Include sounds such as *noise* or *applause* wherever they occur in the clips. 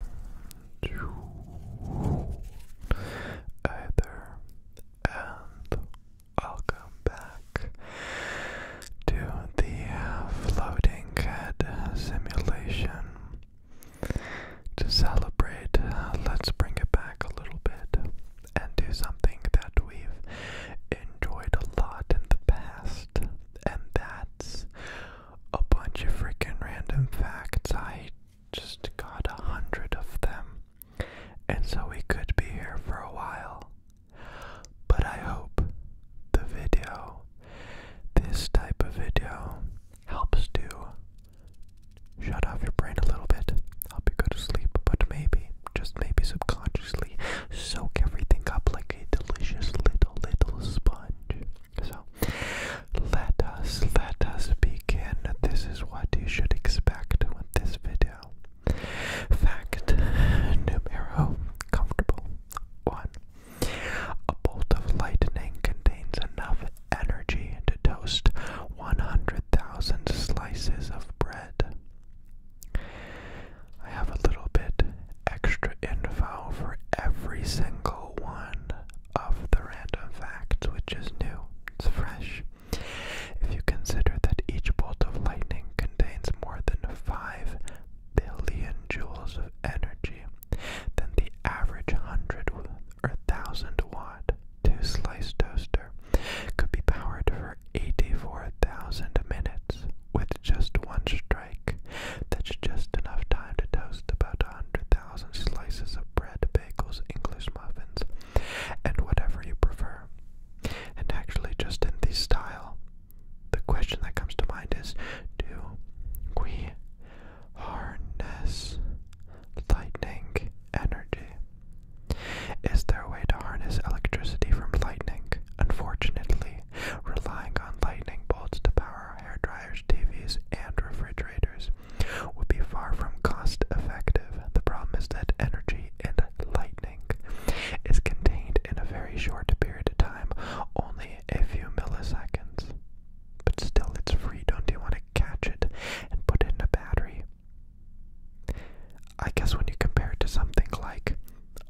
Hi there, and welcome back to the floating head simulation. To celebrate, let's bring it back a little bit and do something that we've enjoyed a lot in the past, and that's a bunch of freaking random facts. I just got a hundred of them. And so we could be here for a while. But I hope the video, this type of video, helps to shut off your brain a little bit, help you go to sleep, but maybe, just maybe subconsciously, soak everything up like a delicious little, little sponge. So, let us, let us begin. This is what you should expect with this video. Fact numero 1. A bolt of lightning contains enough energy to toast 100,000 slices of bread. I have a little bit extra info for every single one of the random facts, which is new, it's fresh. If you consider that each bolt of lightning contains more than 5 billion joules of energy, then the average 100 or 1000 watt two slice toaster could be powered for 84,000 minutes with just one strike. That's just enough time to toast about a hundred thousand slices of bread, bagels, English muffins, and whatever you prefer. And actually, just in this style, the question that comes to mind is do we harness lightning energy? Is there a way to harness electricity from lightning? Unfortunately, relying on lightning bolts to power our hair dryers. TVs and refrigerators would be far from cost effective. The problem is that energy and lightning is contained in a very short period of time, only a few milliseconds. But still, it's free. Don't you want to catch it and put it in a battery? I guess when you compare it to something like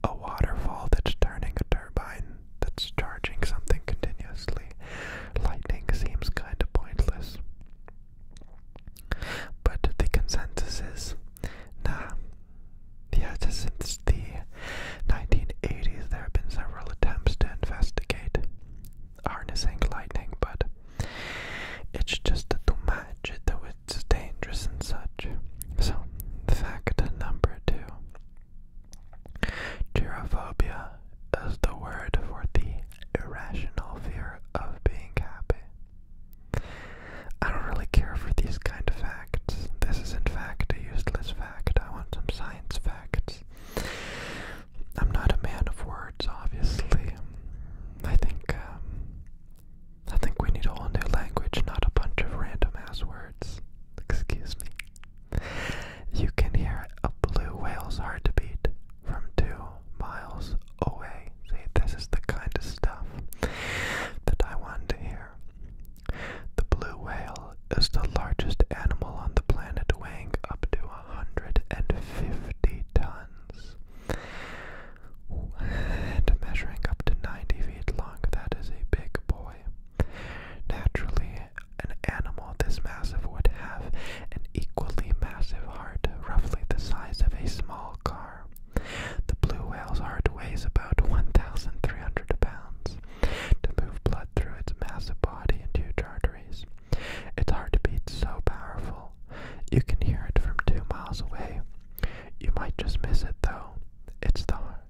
a waterfall that's turning a turbine, that's charging something continuously. Lightning seems kind of pointless. But the consensus is nah. Yeah, since the 1980s, there have been several attempts to investigate harnessing lightning, but it's just too much, though it's dangerous and such. So, fact number two Gerophobia is the word for the irrational fear of being happy. I don't really care for these kind of facts. This is in fact a useless fact. I want some science facts. I'm not a man of words, obviously. I think um, I think we need a whole new language, not a bunch of random ass words. Excuse me. You can hear a blue whale's heart beat from two miles away. See, this is the kind of stuff that I want to hear. The blue whale is the largest animal on the planet, weighing up to 150 tons. And measuring up to 90 feet long, that is a big boy. Naturally, an animal this massive would have an equally massive heart, roughly the size of a small car. The blue whale's heart weighs about 1,300 pounds. To move blood through its massive body and huge arteries, its heart beats so powerful you can hear it from two miles away. You might just miss it though. It's the heart.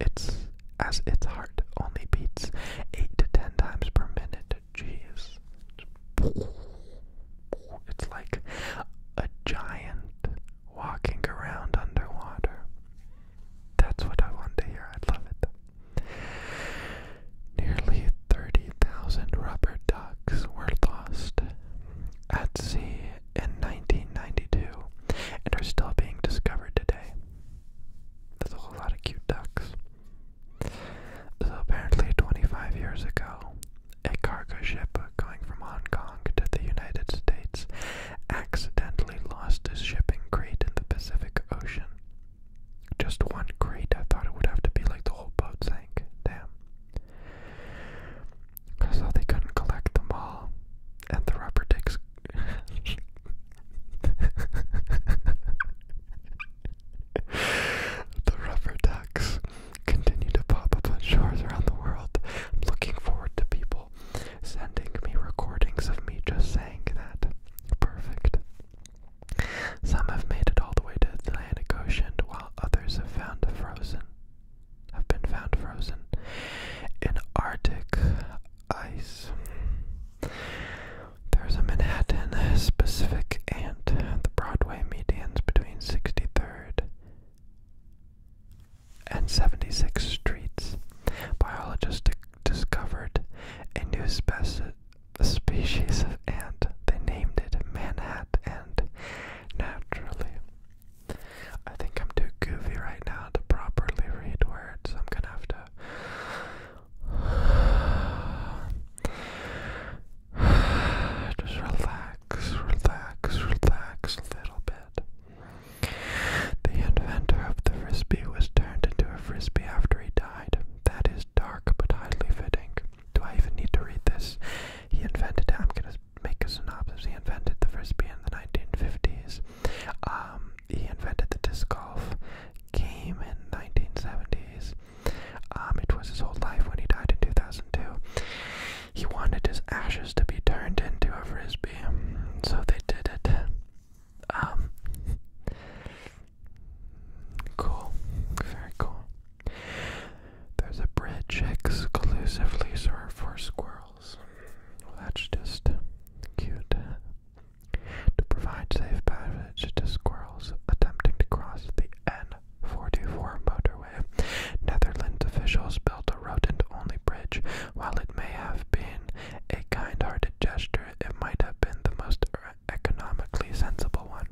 It's as its heart only beats eight to ten times per minute. Jeez. It's like a giant walking around underwater. That's what I want to hear. I love it. Nearly 30,000 rubber ducks were lost at sea in 1992 and are still being discovered today. There's a whole lot of cute ducks. So apparently 25 years ago, a cargo ship going from Hong Kong to the United States accidentally lost its shipping crate in the Pacific Ocean. Just one crate, I thought it would have to be like the whole boat sank. Damn. So they couldn't collect them all, and the rubber ducks the rubber ducks continue to pop up on shores around the world. I'm looking forward to people sending me recordings of me just saying that. Perfect. Some have made it all the way to the Atlantic Ocean, while others have found frozen. Have been found frozen in Arctic ice. There's a Manhattan specific and the Broadway medians between 63rd and 76th Streets. Biologists discovered a new species of ant. They named it Manhat Ant. Naturally, I think I'm too goofy right now to properly read words. I'm gonna have to *sighs* just relax, relax, relax a little bit. The inventor of the frisbee was turned into a frisbee after he died. That is dark but highly fitting. Do I even need to read this? He invented I'm gonna make a synopsis. He invented the frisbee in the 1950s. Um, he invented the disc golf game in 1970s. Um, it was his whole life when he died in 2002. He wanted his ashes to be turned into a frisbee, so they did it. Um, cool, very cool. There's a bridge exclusively for squirrels that's just cute. To provide safe passage to squirrels attempting to cross the N424 motorway, Netherlands officials built a rodent-only bridge. While it may have been a kind-hearted gesture, it might have been the most economically sensible one,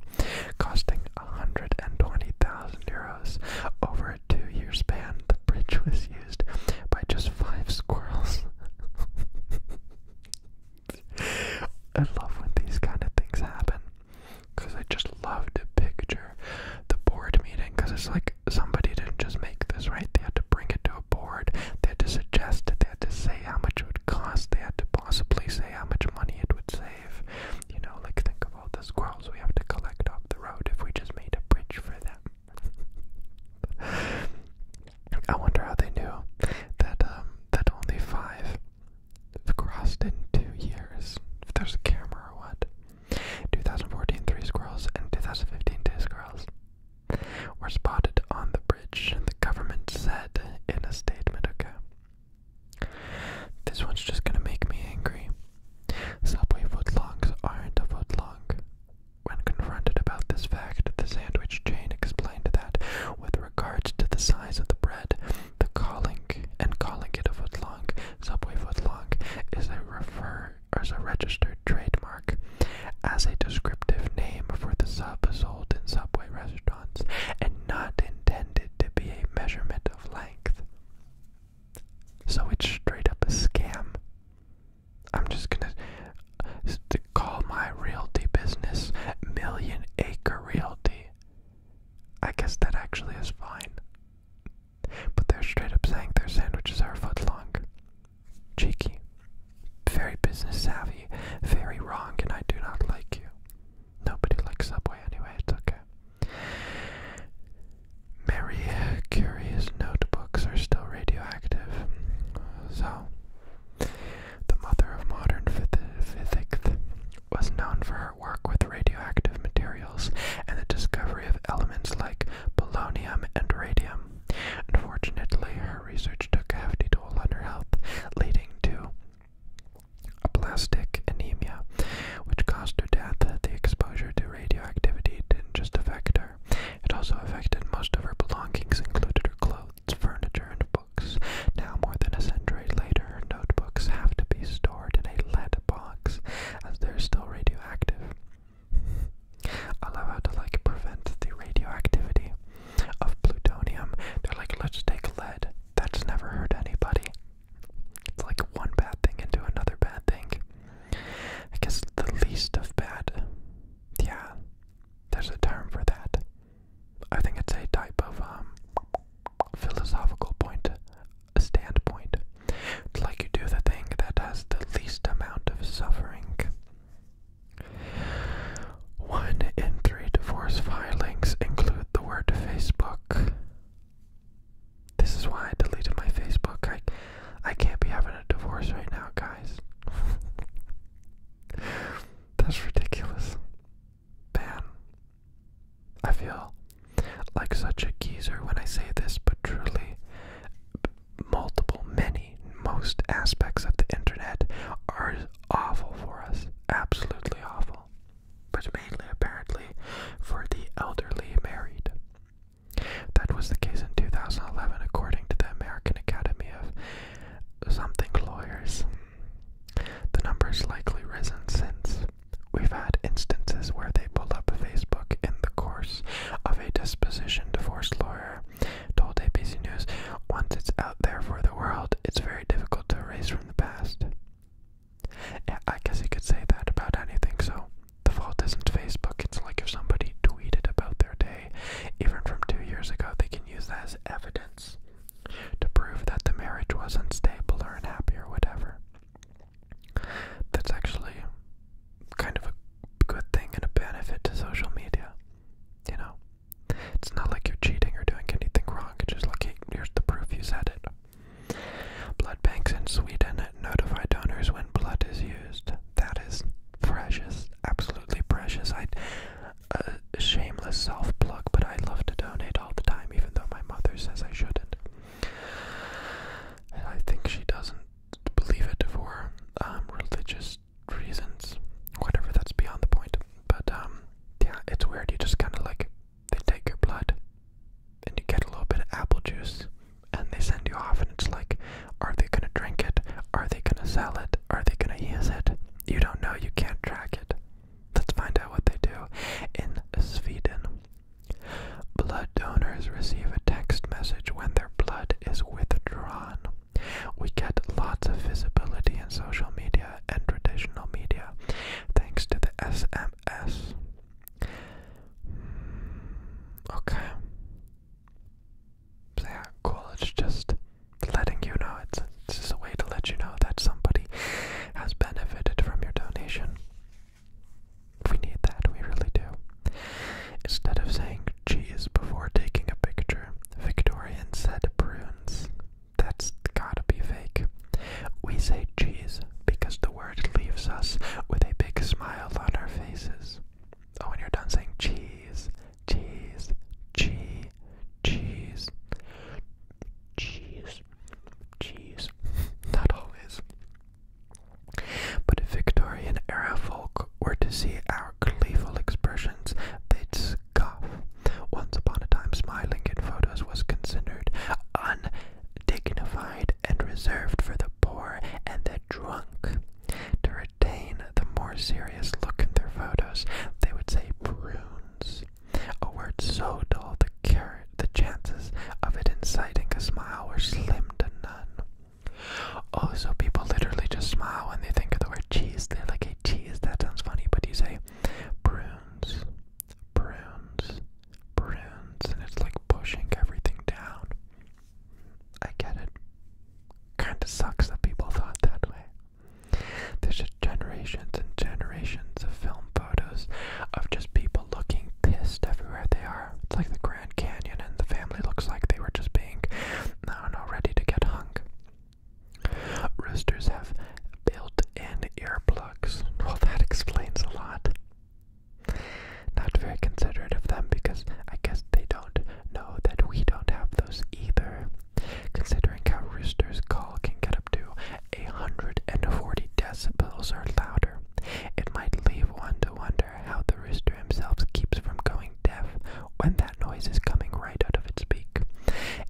costing 120,000 euros over a two year span, the bridge was used by just five squirrels. *laughs* I love when these kind of things happen because I just love to picture the board meeting because it's like somebody didn't just make this, right? They had to bring it to a board, they had to suggest it, they had to say how much it would cost, they had to possibly say how much money it would save. You know, like think of all the squirrels we have to collect off the road if we just made a bridge for them. I wonder how they knew that um, that only five crossed in two years. If there's a camera or what. 2014, three squirrels and 2015, two squirrels were spotted on the bridge. The government said in a statement, "Okay, this one's just gonna make me angry. Subway footlongs aren't a footlong. When confronted about this fact, the sandwich chain explained that, with regards to the size of the bread, the calling and calling it a footlong, Subway footlong, is a refer as a registered trademark as a descriptive name for the sub sold in Subway restaurants, and not intended to be a measurement of length. So it's straight up a scam. I'm just gonna call my realty business Million Acre Realty. I guess that actually is fine. But they're straight up saying their sandwiches are a foot long. Cheeky. Very business savvy. Very wrong, and I do not like you. Nobody likes Subway anyway, it's okay. Mary uh, Curie's notebooks are still radioactive. So, the mother of modern physics was known for her work with radioactive materials and the discovery of elements like polonium and radium. Unfortunately, her research took a hefty toll on her health, leading to aplastic anemia, which caused her death. The exposure to radioactivity didn't just affect it also affected most of her belongings, including her clothes, furniture, and books. Now, more than a century later, her notebooks have to be stored in a lead box, as they're still radioactive. I love how to like prevent the radioactivity of plutonium. They're like, let's take lead. That's never hurt anybody. It's like one bad thing into another bad thing. I guess the least of bad. Yeah, there's a term for that. I think it's a type of um, philosophical point, a standpoint. like you do the thing that has the least amount of suffering. One in three divorce filings include the word Facebook. This is why I deleted my Facebook. I, I can't be having a divorce right now, guys. *laughs* That's ridiculous. Man, I feel like such a geezer when I say this, but truly, multiple, many, most aspects of the internet are awful for us. Absolutely awful. But mainly, apparently, for the elderly married. That was the case in 2011, according to the American Academy of Something Lawyers. The number's likely risen since. We've had instances where they pulled up Facebook in the course of a disposition divorce lawyer told ABC News, once it's out there for the world, it's very difficult to erase from the past. I guess you could say that about anything, so the fault isn't Facebook. It's like if somebody tweeted about their day, even from two years ago, they can use that as evidence to prove that the marriage was unstable or unhappy or whatever. That's actually kind of a good thing and a benefit to social media. You know? It's not like you're cheating or doing anything wrong. It's just like, hey, here's the proof you said it. Blood banks in Sweden notify donors when blood is used. That is precious, absolutely precious. I, a shameless self pluck but I love to donate all the time, even though my mother says I shouldn't. And I think she doesn't believe it for um, religious reasons. Whatever, that's beyond the point. But um, yeah, it's weird. You just kind of like they take your blood and you get a little bit of apple juice, and they send you off, and it's like, are they gonna drink it? Are they gonna sell it? Are they gonna use it? You don't know, you can't track it. Let's find out what they do. In Sweden, blood donors receive a text message when their blood is withdrawn. We get lots of visibility in social media and traditional media thanks to the SMS. Hmm, okay. yeah, cool. It's just letting you know. It's, it's just a way to let you know that somebody has benefited from your donation. We need that. We really do. Instead of saying cheese before taking a picture, Victorian said prunes. That's gotta be fake. We say cheese because the word leaves us with a big smile on our faces. Oh, and you're done saying cheese, cheese, cheese, cheese, cheese, cheese. Not always. But if Victorian era folk were to see our gleeful expressions, they'd scoff. Once upon a time, smiling in photos was considered un dignified and reserved for the poor and the drunk. To retain the more serious look in their photos, they would say prunes, a word so dull the the chances of it inciting a smile were slim to none. Oh, so people literally just smile when they think of the word cheese. They're like, "A cheese, that sounds funny, but you say prunes, prunes, prunes and it's like pushing everything down. I get it. Kinda sucks that people thought that way. There's just generations and generations of film photos of just people looking pissed everywhere they are. It's like the Grand Canyon and the family looks like they were just being, I don't know, ready to get hung. Roosters have built-in earplugs. Well, that explains a lot. Not very considerate of them because I guess they don't know that we don't have those either. Considering how Rooster's call can get up to 140 decibels or louder, it might leave one to wonder how the rooster himself keeps from going deaf when that noise is coming right out of its beak.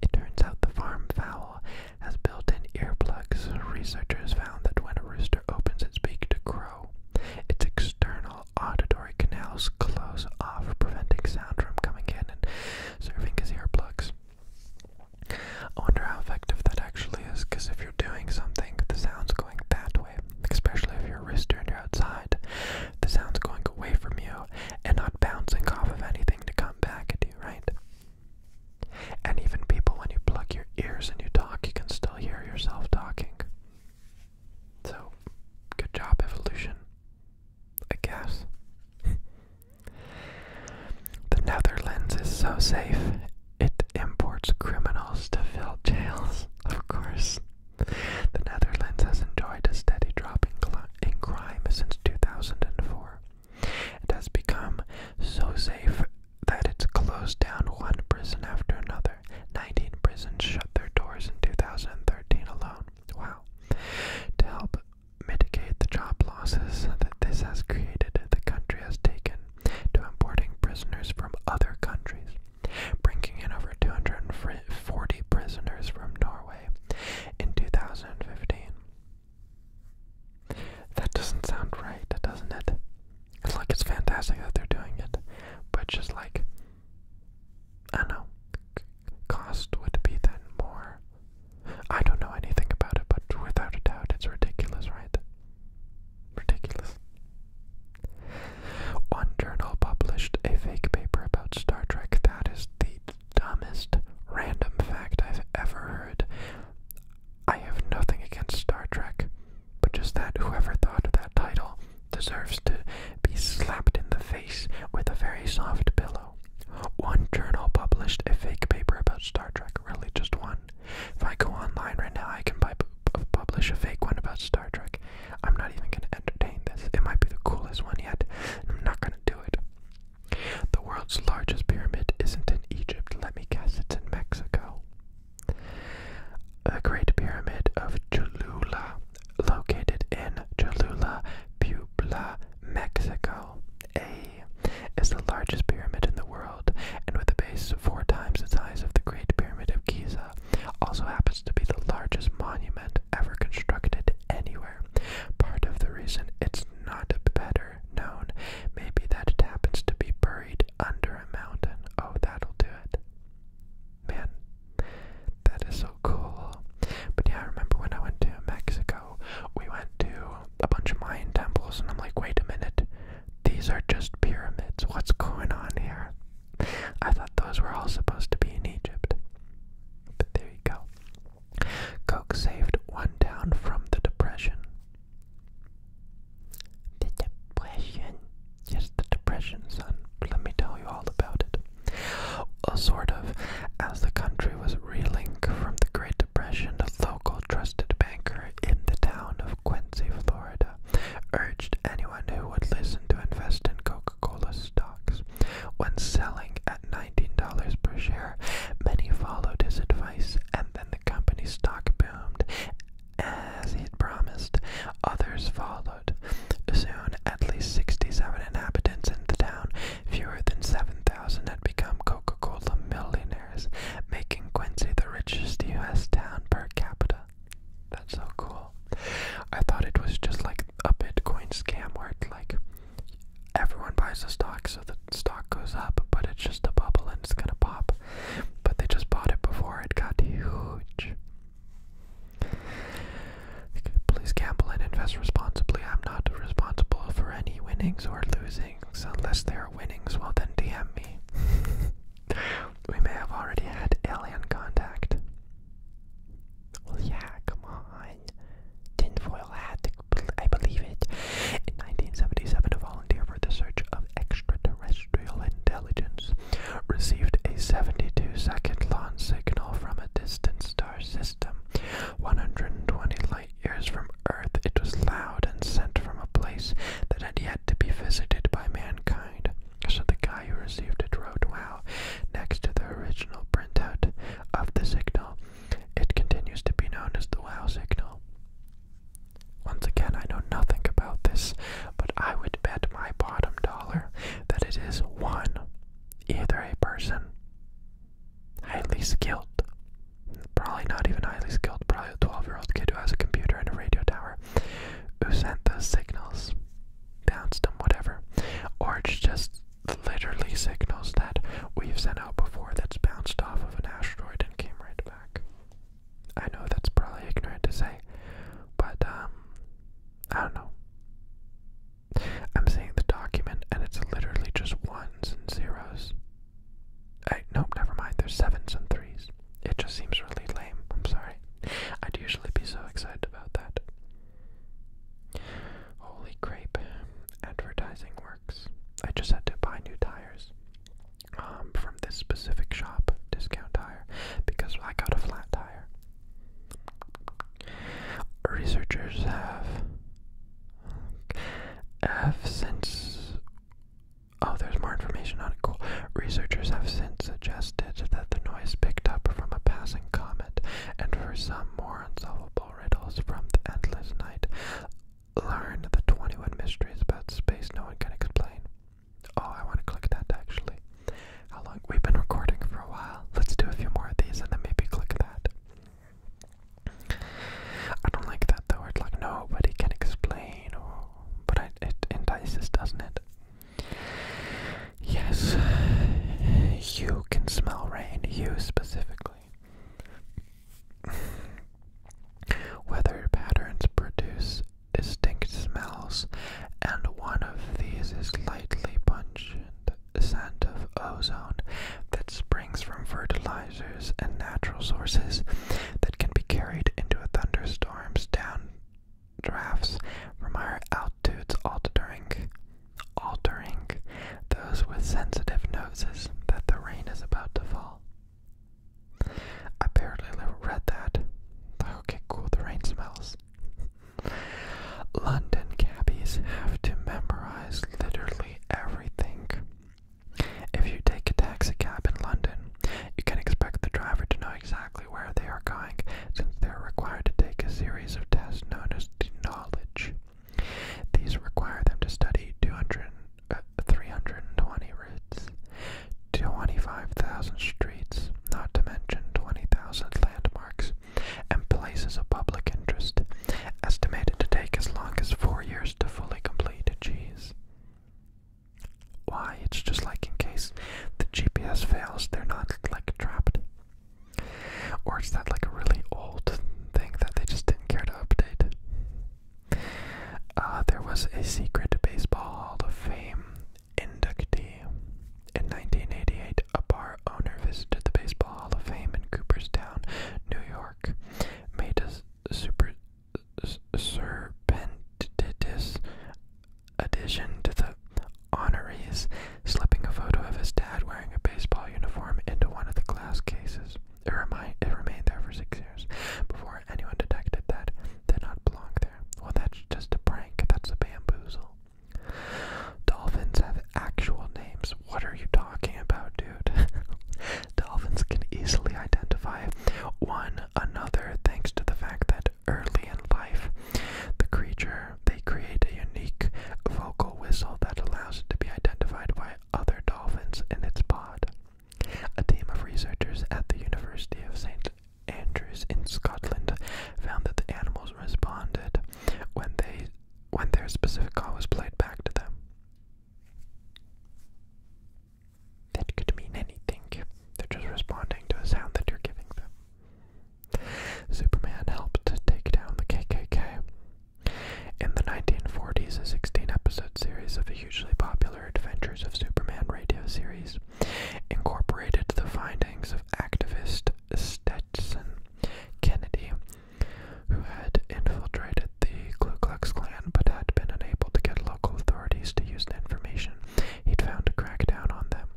It turns out the farm fowl has built in earplugs. Researchers found that when a rooster opens its beak to crow. Its external auditory canals close off, preventing sound from coming in and serving as earplugs. I wonder how effective that actually is, because if you're doing something, the sound's going that way, especially if you're a outside. The sound's going away from you and not bouncing off of anything to come back at you, right? And even people, when you plug your ears and you talk, you can still hear yourself talking. So, good job, evolution. I guess. *laughs* the Netherlands is so safe, it imports criminals to fill jails, *laughs* of course. The Netherlands has enjoyed a steady drop in, in crime since 2004. It has become so safe that it's closed down one prison after another. 19 prisons shut their doors in 2013 alone. Wow. To help mitigate the job losses that this has created, the country has taken to importing prisoners from other countries, bringing in over 240 prisoners from Norway in 2015. That doesn't sound right, doesn't it? It's like it's fantastic that they're doing it, but just like, I know, cost would be then more. I don't know anything about it, but without a doubt, it's ridiculous, right? Ridiculous. One journal published a fake paper about Star Trek that is the dumbest random fact I've ever heard. I have nothing against Star Trek, but just that whoever thought of that title deserves to be slapped in the face with a very soft pillow. One journal published a fake paper about Star Trek, really just one. If I go online right now, I can buy, publish a fake one about Star Trek. I'm not even going to entertain this. It might be the coolest one yet, I'm not going to do it. The world's largest pyramid isn't in Egypt. Let me guess, it's in Mexico. The Great Pyramid of Cholula, located in Cholula, Puebla, Mexico. A is the largest pyramid in the world, and with a base four times the size of the Great Pyramid of Giza, also happens to be the largest monument ever constructed anywhere. Part of the reason it's not better known. Maybe that it happens to be buried under a mountain. Oh, that'll do it. Man, that is so cool. But yeah, I remember when I went to Mexico, we went to a bunch of Mayan temples, and I'm like, wait a minute, these are just pyramids. What's going on here? I thought those were all supposed to be in Egypt. But there you go. Coke saved one down from the Depression. The depression. Yes, the depression, son. Let me tell you all about it. a sort of. As the country was reeling from the Great Depression, a local trusted banker in the town of Quincy, Florida, urged anyone who would listen to invest in Coca-Cola stocks. When selling at $19 per share, many followed his advice and then Company stock boomed as he'd promised. Others followed. Soon, at least 67 inhabitants in the town, fewer than 7,000, had become Coca Cola millionaires, making Quincy the richest U.S. town per capita. That's so cool. I thought it was just like a Bitcoin scam where, like, everyone buys the stocks the stock goes up, but it's just a bubble and it's gonna pop. But they just bought it before it got huge. Please gamble and invest responsibly. I'm not responsible for any winnings or losings. Unless there are winnings, well then DM me. *laughs* we may have already had alien contact. Well, yeah, come on. Tinfoil hat I believe it. In 1977, a volunteer for the search of extraterrestrial intelligence received a 72-second long signal from a distant star system, 120 light-years from Earth. It was loud and sent from a place that had yet to be visited by mankind. So the guy who received it wrote, "Wow!" Next to the original printout of the signal, it continues to be known as the Wow signal. Once again, I know nothing about this, but I would bet my bottom dollar that it is one, either a person highly skilled, probably not even highly skilled, probably a 12 year old kid who has a computer and a radio tower, who sent those signals, bounced them, whatever, or it's just literally signals that we've sent out before that's bounced off of an asteroid Jordan came right back. I know that's probably ignorant to say, but um, I don't know. I'm seeing the document and it's literally just ones and zeros. Hey, nope, never mind. There's sevens and threes. It just seems really lame. I'm sorry. I'd usually be so excited about that. Holy crap! Advertising work. I just had to buy new tires um, from this specific shop, Discount Tire, because I got a flat tire. Researchers have have since oh, there's more information on it. Cool. Researchers have since suggested that the noise picked up from a passing comet, and for some more unsolvable riddles from the endless night, Learn the 21 mysteries about space no one can explain. Oh, I want to click that actually. How long? We've been recording for a while. Let's do a few more of these and then maybe click that. I don't like that though. It's like nobody can explain. Oh, but it entices, doesn't it? Yes, you can smell rain, you specifically. *laughs* Weather patterns produce distinct smells, and one of these is lightly pungent scent of ozone that springs from fertilizers and natural sources that can be carried into a thunderstorm's down drafts from our altitudes altering altering those with sensitive noses that the rain is about to fall. I barely read that. Okay, cool, the rain smells. London cabbies have to memorize literally everything. If you take a taxi cab in London, you can expect the driver to know exactly where they are going since they are required to take a series of tests known as the knowledge these require them to study 200, uh, 320 routes, 25,000 streets, not to mention 20,000 landmarks, and places of public interest, estimated to take as long as four years to fully complete. Geez. Why? It's just like in case the GPS fails, they're not like trapped. Or is that like a really old thing that they just didn't care to update? Uh, there was a secret baseball Hall of Fame inductee. In 1988, a bar owner visited the Baseball Hall of Fame in Cooperstown, New York, made a super serpentitous addition to the honorees, slipping a photo of his dad wearing a baseball uniform into one of the glass cases. It, remained there for six years before anyone detected that it did not belong there. Well, that's just a prank. That's a bamboozle. Dolphins have actual names. What are you talking about, dude? *laughs* Dolphins can easily identify one another thanks to the fact that early in life, the creature they create a unique vocal whistle that allows it to be identified by other dolphins in its pod. A team of researchers at the University of St. Andrews in Scotland found that the animals responded when they when their specific call was played back to them. That could mean anything. They're just responding to a sound that you're giving them. Superman helped take down the KKK in the 1940s, a 16 episode series of the hugely popular Adventures of Superman radio series incorporated the findings of activist Stetson Kennedy, who had infiltrated the Ku Klux Klan but had been unable to get local authorities to use the information he'd found to crack down on them.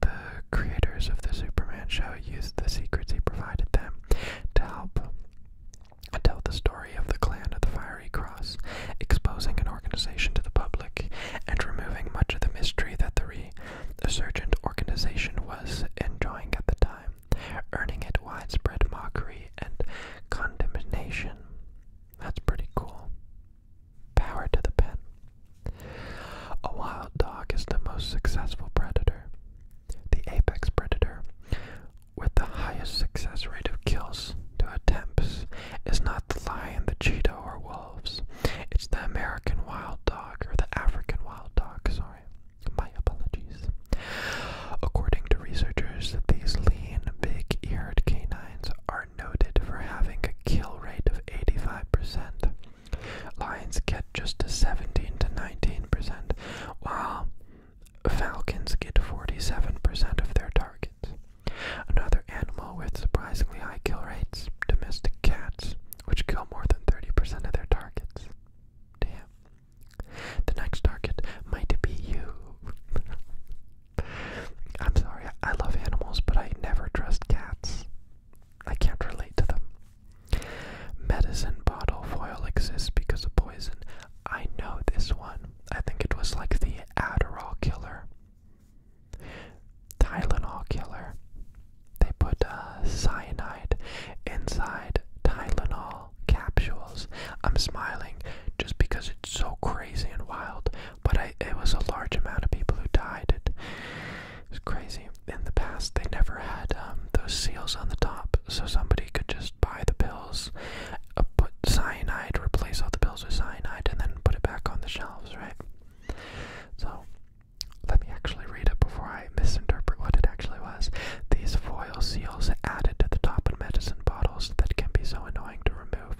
The creators of the Superman show used the secrets he provided them to help I tell the story of the Clan of the Fiery Cross, exposing an organization to the public and removing much of the mystery that the resurgent organization was enjoying at the time, earning it widespread mockery and condemnation. That's pretty cool. Power to the pen. A wild dog is the most successful predator the apex predator with the highest success rate of kills to attempts is not the lion, the cheetah, or wolves. It's the American wild dog, or the African wild dog, sorry. My apologies. According to researchers, these lean, big eared canines are noted for having a kill rate of 85%. Lions get just a 17 to 19%, while falcons get 47% of their targets. Another animal with surprisingly high kill rates, domestic cats, which kill more than 30% of their targets. Damn. The next target might be you. *laughs* I'm sorry, I love animals, but I never trust cats. I can't relate to them. Medicine bottle foil exists because of poison. I know this one. I think it was like the Adderall killer. Tylenol killer. They put uh, cyanide inside Tylenol capsules. I'm smiling just because it's so crazy and wild, but I, it was a large amount of people who died. It It's crazy in the past they never had um, those seals on the top, so somebody could just buy the bills, uh, put cyanide, replace all the bills with cyanide, and then put it back on the shelves, right? So, let me actually read it before I misinterpret what it actually was. These foil seals added to the top of medicine bottles that can be so annoying to remove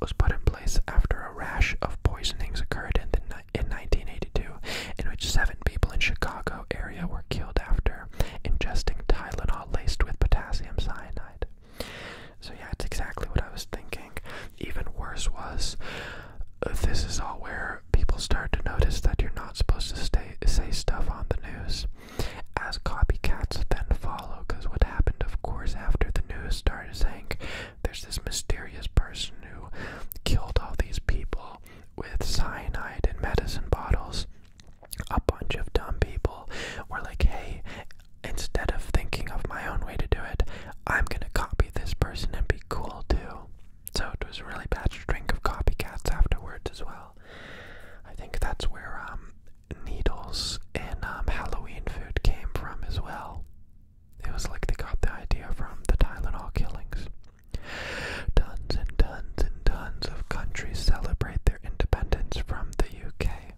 was put in place after a rash of poisonings occurred in the in 1982, in which seven people in Chicago area were killed after ingesting Tylenol laced with potassium cyanide. So, yeah, it's exactly what I was thinking. Even worse was uh, this is all where people start to notice that you're not supposed to say stuff on the news, as copycats then follow. Because what happened, of course, after the news started saying there's this mysterious person who killed all these people with cyanide and medicine bottles. A bunch of dumb people were like, hey, instead of thinking of my own way to do it, I'm gonna copy this person and be cool too. So it was a really bad string of copycats afterwards as well. I think that's where um, needles and um, Halloween food came from as well. It was like they got the idea from the Tylenol killings. Tons and tons and tons of countries celebrate their independence from the UK.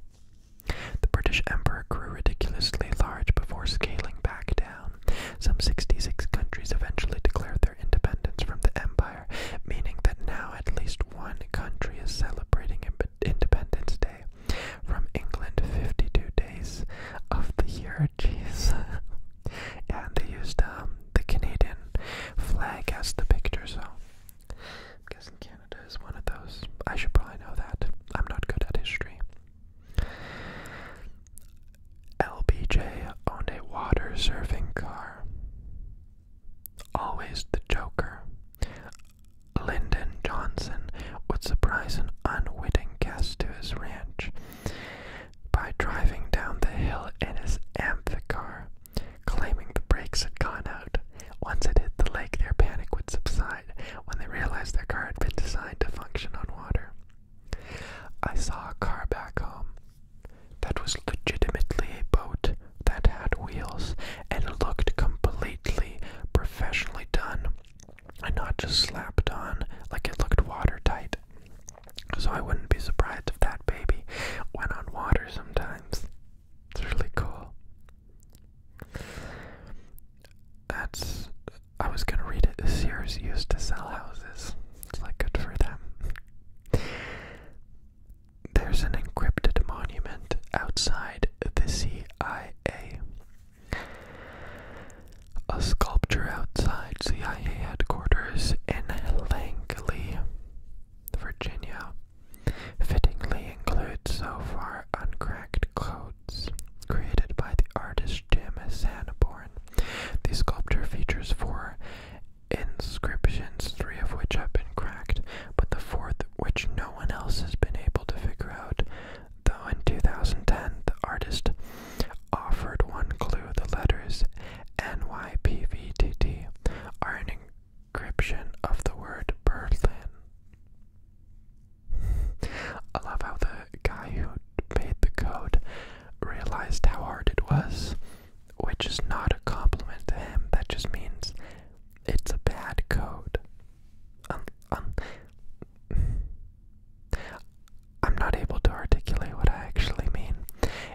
The British Empire grew ridiculously large before scaling back down. Some 66 countries eventually declared their independence from the empire, meaning that now at least one country is celebrating Independence Day from England 52 days of the year. *laughs* Jeez and they used um, the Canadian flag as the picture, so I'm guessing Canada is one of those. I should probably know that. I'm not good at history. LBJ owned a water surfing car. Always the Joker. Lyndon Johnson would surprise an unwitting guest to his ranch by driving down the hill in his amphicar, claiming the brakes had gone out. Once it hit the lake, their panic would subside when they realized their car had been designed to function on water. I saw a car back home that was legitimately a boat that had wheels and looked completely professionally done and not just slapped on like it looked watertight. So I wouldn't be surprised if that baby went on water sometimes. It's really cool. That's. I was gonna read it. Sears used to sell houses. It's like good for them. There's an encrypted monument outside the CIA a sculpture outside CIA headquarters in Langley, Virginia, fittingly includes so far uncracked codes created by the artist Jim Sanborn. The sculpture features four inscriptions, three of which have been cracked, but the fourth, which no one else has been able to figure out, though in 2010 the artist offered one clue the letters NYPVTT are an encryption of the word Berlin. I love how the guy who made the code realized how hard it was, which is not a compliment to him, that just means it's a bad code. I'm not able to articulate what I actually mean.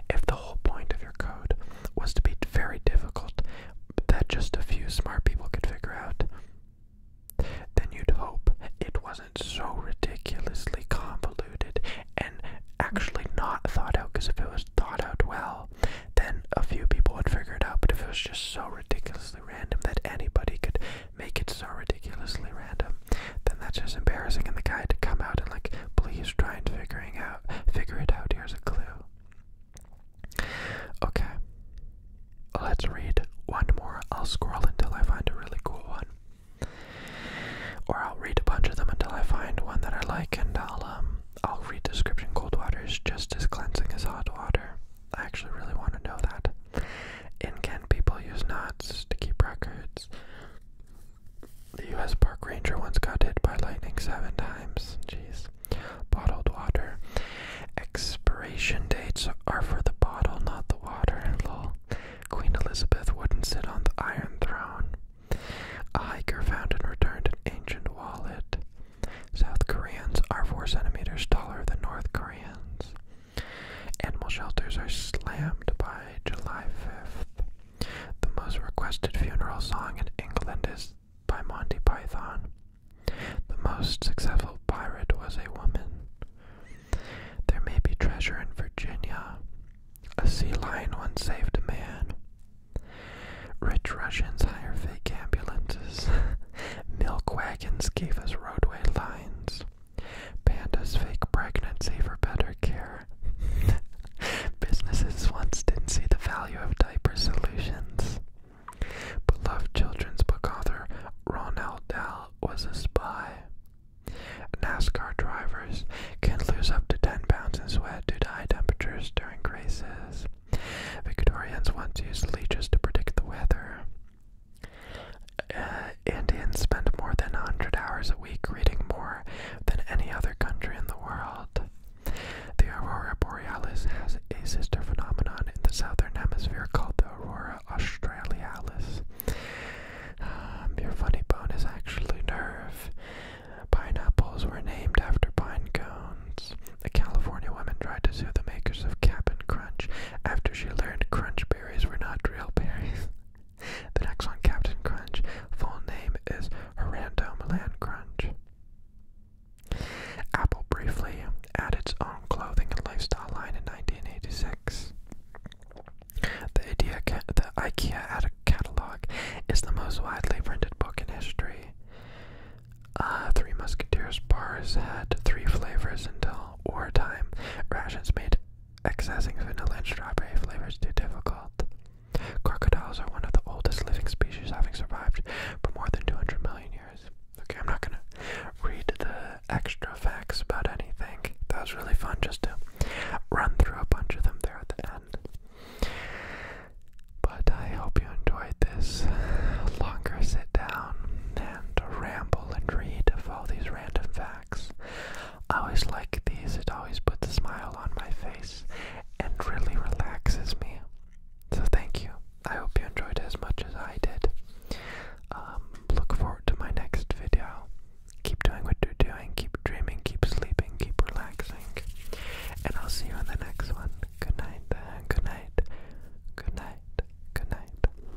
If the whole point of your code was to be very difficult, but that just a few smart people could figure out, then you'd hope it wasn't so ridiculously convoluted and actually not thought out, because if it was thought out well, then a few people would figure it out, but if it was just so ridiculously random that anybody could make it so ridiculously random, then that's just embarrassing and the guy had to come out and like please try and figuring out figure it out here's a clue okay let's read one more i'll scroll until i find a really cool one or i'll read a bunch of them until i find one that i like and i'll um i'll read description cold water is just as cleansing as hot water i actually really want to know that in Kent, people use knots to keep records. The U.S. park ranger once got hit by lightning seven times. Jeez. Bottled water. Expiration dates are for the bottle, not the water. And Lol. Queen Elizabeth wouldn't sit on the Iron Throne. A hiker found and returned an ancient wallet. South Koreans are four centimeters taller than North Koreans. Animal shelters are slammed by July 5th. The most requested funeral song in England is by Monty Python. The most successful pirate was a woman. There may be treasure in Virginia. A sea lion once saved a man. Rich Russians hire fake ambulances. *laughs* Milk wagons gave us roadway lines. Pandas fake pregnancy for better care. *laughs* Businesses once didn't see the value of diaper solutions. Beloved children's book author Ronald Dahl was a spy. NASCAR drivers can lose up to 10 pounds in sweat due to high temperatures during races. Victorians once used leeches to predict the weather. Uh, Indians spend more than 100 hours a week reading more than any other country in the world. The aurora borealis has a sister phenomenon in the southern hemisphere called the aurora australis. Um, your funny bone is actually nerve. Pineapples were named after pine cones. A California woman tried to sue the makers of Cap'n Crunch after she learned Crunch berries were not real berries. *laughs* the next one, Captain Crunch. Full name is Horando Milan Crunch. Apple briefly added its own clothing and lifestyle line in 1986. The, idea, the IKEA had catalog is the most widely printed book in history. Uh, three Musketeers bars had three flavors until wartime. Rations made Excessing vanilla and strawberry flavors too difficult. Crocodiles are one of the oldest living species having survived for more than 200 million years. Okay, I'm not gonna read the extra facts about anything. That was really fun just to run through a bunch of them there at the end. But I hope you enjoyed this longer sit down and ramble and read of all these random facts. I always like these, it always puts a smile on my face and really relaxes me. So, thank you. I hope you enjoyed as much as I did. Um, look forward to my next video. Keep doing what you're doing, keep dreaming, keep sleeping, keep relaxing. And I'll see you in the next one. Good night, Good night. Good night. Good night.